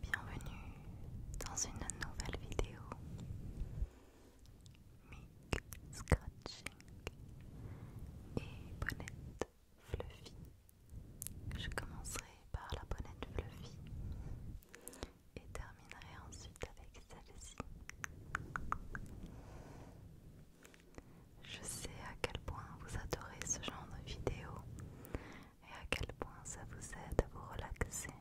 Bienvenue dans une nouvelle vidéo Mic Scratching et Bonnette Fluffy. Je commencerai par la bonnette Fluffy. Et terminerai ensuite avec celle-ci. Je sais à quel point vous adorez ce genre de vidéo et à quel point ça vous aide à vous relaxer.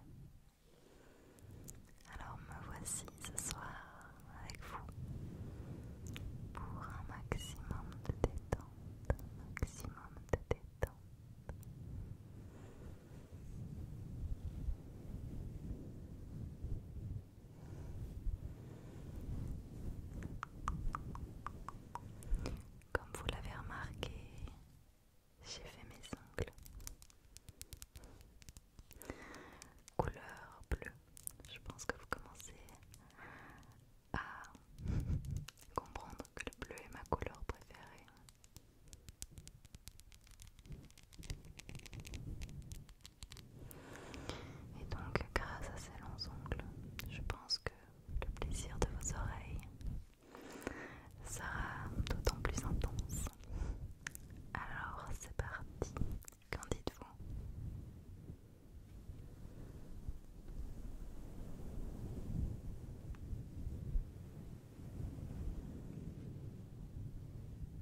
Alors me voici ce soir avec vous pour un maximum de détente, maximum de détente. Comme vous l'avez remarqué, j'ai fait mes ongles. Couleur bleue. Je pense que vous commencez à comprendre que le bleu est ma couleur préférée. Et donc, grâce à ces longs ongles, je pense que le plaisir de vos oreilles sera d'autant plus intense. Alors, c'est parti. Qu'en dites-vous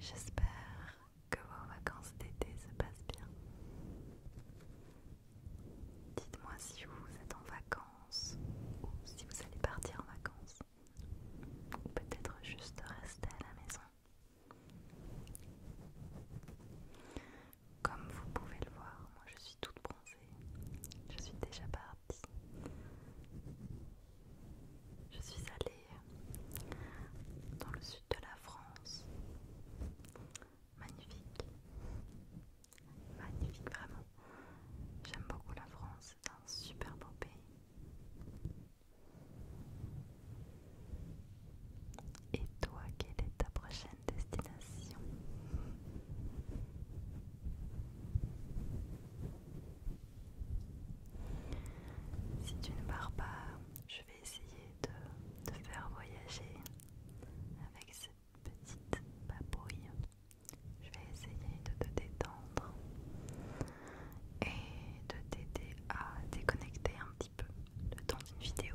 J'espère que vos vacances d'été se passent bien. Dites-moi si vous êtes en vacances ou si vous allez partir en vacances ou peut-être juste rester à la maison. Comme vous pouvez le voir, moi je suis toute bronzée. Je suis déjà partie. Je suis allée dans le sud de la France. Magnifique. Magnifique vraiment. J'aime beaucoup la France, c'est un super beau pays. Et toi, quelle est ta prochaine destination. Si tu ne pars pas, je vais essayer de te faire voyager avec cette petite papouille. Je vais essayer de te détendre et de t'aider à déconnecter un petit peu le temps d'une vidéo.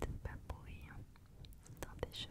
petite papouilles dans tes cheveux.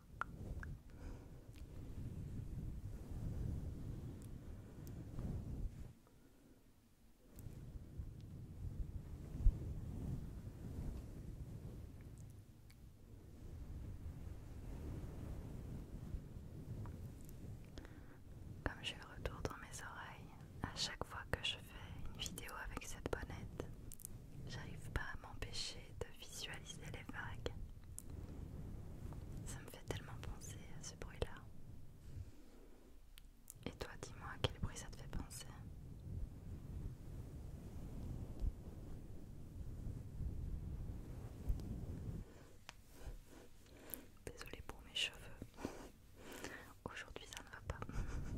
Comme je retour dans mes oreilles à chaque fois que je fais une vidéo avec cette bonnette, j'arrive pas à m'empêcher de visualiser les vagues. Ça me fait tellement penser à ce bruit-là. Et toi, dis-moi à quel bruit ça te fait penser. Désolée pour mes cheveux. Aujourd'hui, ça ne va pas.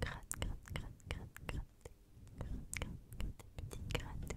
Gratte, grat, grat, grat, grat, gratte, gratte, gratte,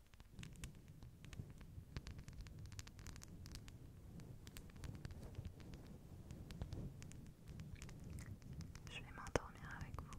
Je vais m'endormir avec vous.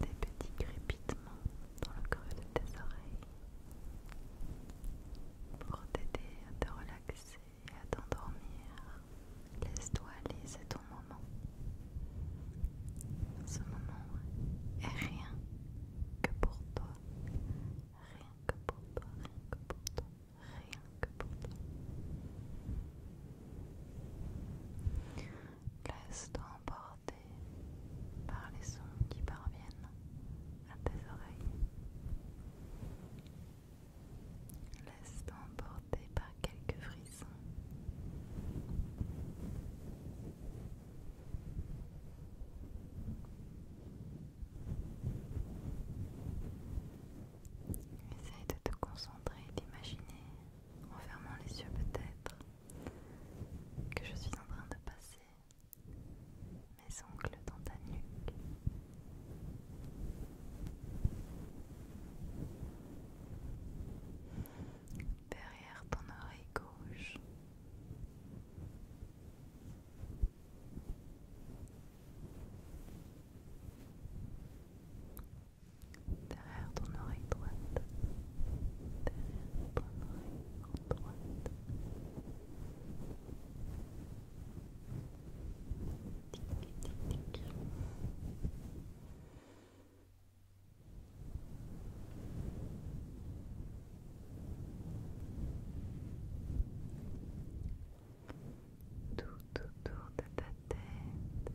des petits crépitements dans le creux de tes oreilles pour t'aider à te relaxer et à t'endormir. Laisse-toi aller, c'est ton moment. Ce moment est rien que pour toi. Rien que pour toi, rien que pour toi, rien que pour toi. Laisse-toi emporter par les sons qui parviennent à tes oreilles. Laisse-toi emporter par quelques frissons. Essaye de te concentrer d'imaginer en fermant les yeux peut-être que je suis en train de passer mes ongles dans ta nuque. Derrière ton oreille gauche derrière ton oreille droite, derrière ton oreille droite. Tic, tic, tic. Tout autour de ta tête,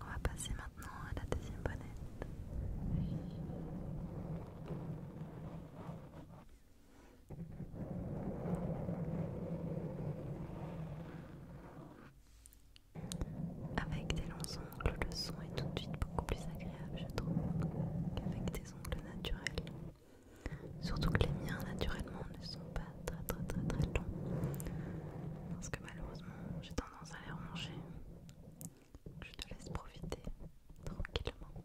On va passer maintenant à la deuxième bonnette. Avec des longs ongles, le son est tout de suite beaucoup plus agréable, je trouve, qu'avec des ongles naturels. Surtout que les miens, naturellement, ne sont pas très très très très longs. Parce que malheureusement, j'ai tendance à les remonter. Je te laisse profiter tranquillement.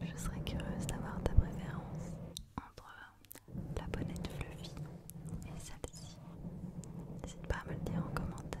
Je serais curieuse d'avoir ta préférence entre la bonnette fluffy et celle-ci. N'hésite pas à me le dire en commentaire.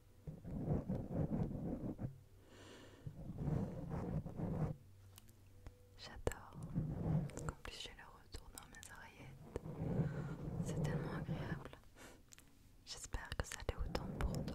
J'adore. En plus, j'ai le retour dans mes oreillettes. C'est tellement agréable. J'espère que ça l'est autant pour toi.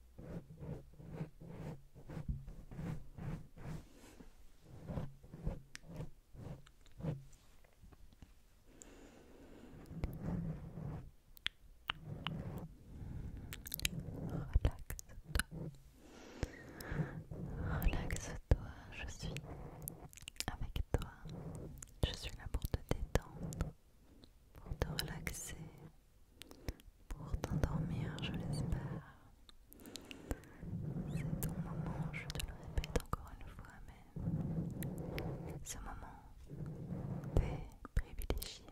Relaxe-toi, je suis avec toi. Je suis là pour te détendre, pour te relaxer, pour t'endormir, je l'espère. C'est ton moment, je te le répète encore une fois, mais ce moment, t'est privilégié.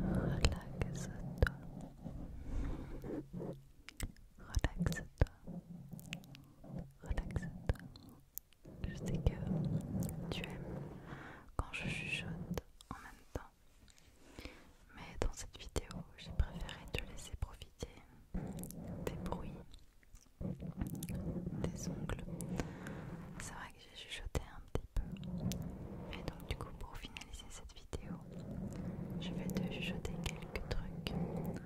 Relaxe-toi. Relaxe-toi. Relaxe-toi. Je sais que tu aimes quand je chuchote en même temps. Mais dans cette vidéo, j'ai préféré te laisser profiter des bruits, des ongles. C'est vrai j'ai chuchoté un petit peu. Et donc du coup pour finaliser cette vidéo, je vais te chuchoter quelques trucs pour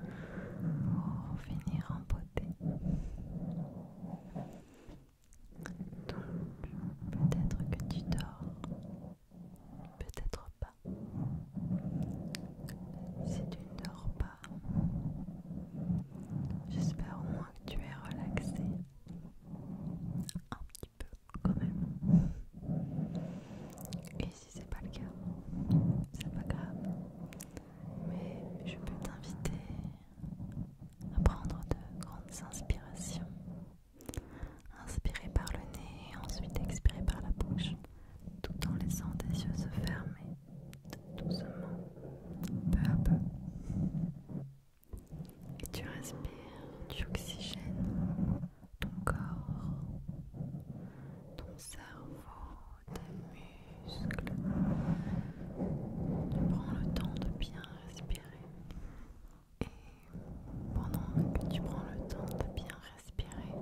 finir en beauté. Donc peut-être que tu dors, peut-être pas. Si tu ne dors pas, j'espère au moins que tu es relaxé un petit même. Et si c'est pas le cas, c'est pas grave. Mais je peux t'inviter à prendre de grandes inspirations. inspirer par le nez et ensuite expirer par la bouche, tout en laissant tes yeux se fermer doucement, peu à peu et tu respires, tu oxygènes ton corps, ton cerveau, tes muscles. Tu prends le temps de bien respirer. Et pendant que tu prends le temps de bien respirer,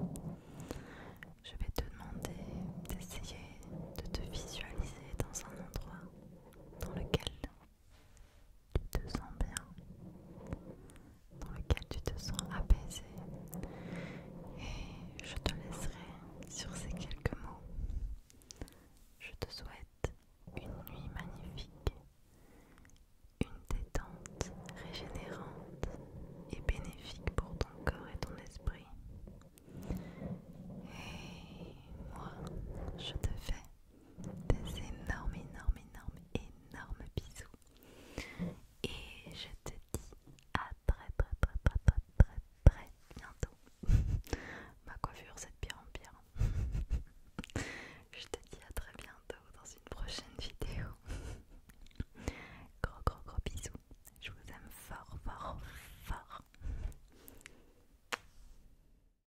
je vais te demander d'essayer de te visualiser dans un endroit dans lequel tu te sens bien, dans lequel tu te sens apaisé. Et je te laisserai sur ces quelques mots. Je te souhaite une nuit magnifique, une détente régénérante et bénéfique pour ton corps et ton esprit. Et moi, je te fais des énormes, énormes, énormes, énormes bisous. Et je te dis à très, très, très, très, très, très, très bientôt. Ma coiffure, c'est de pire en pire. je te dis à très bientôt dans une prochaine vidéo. gros, gros, gros bisous. Je vous aime fort, fort, fort.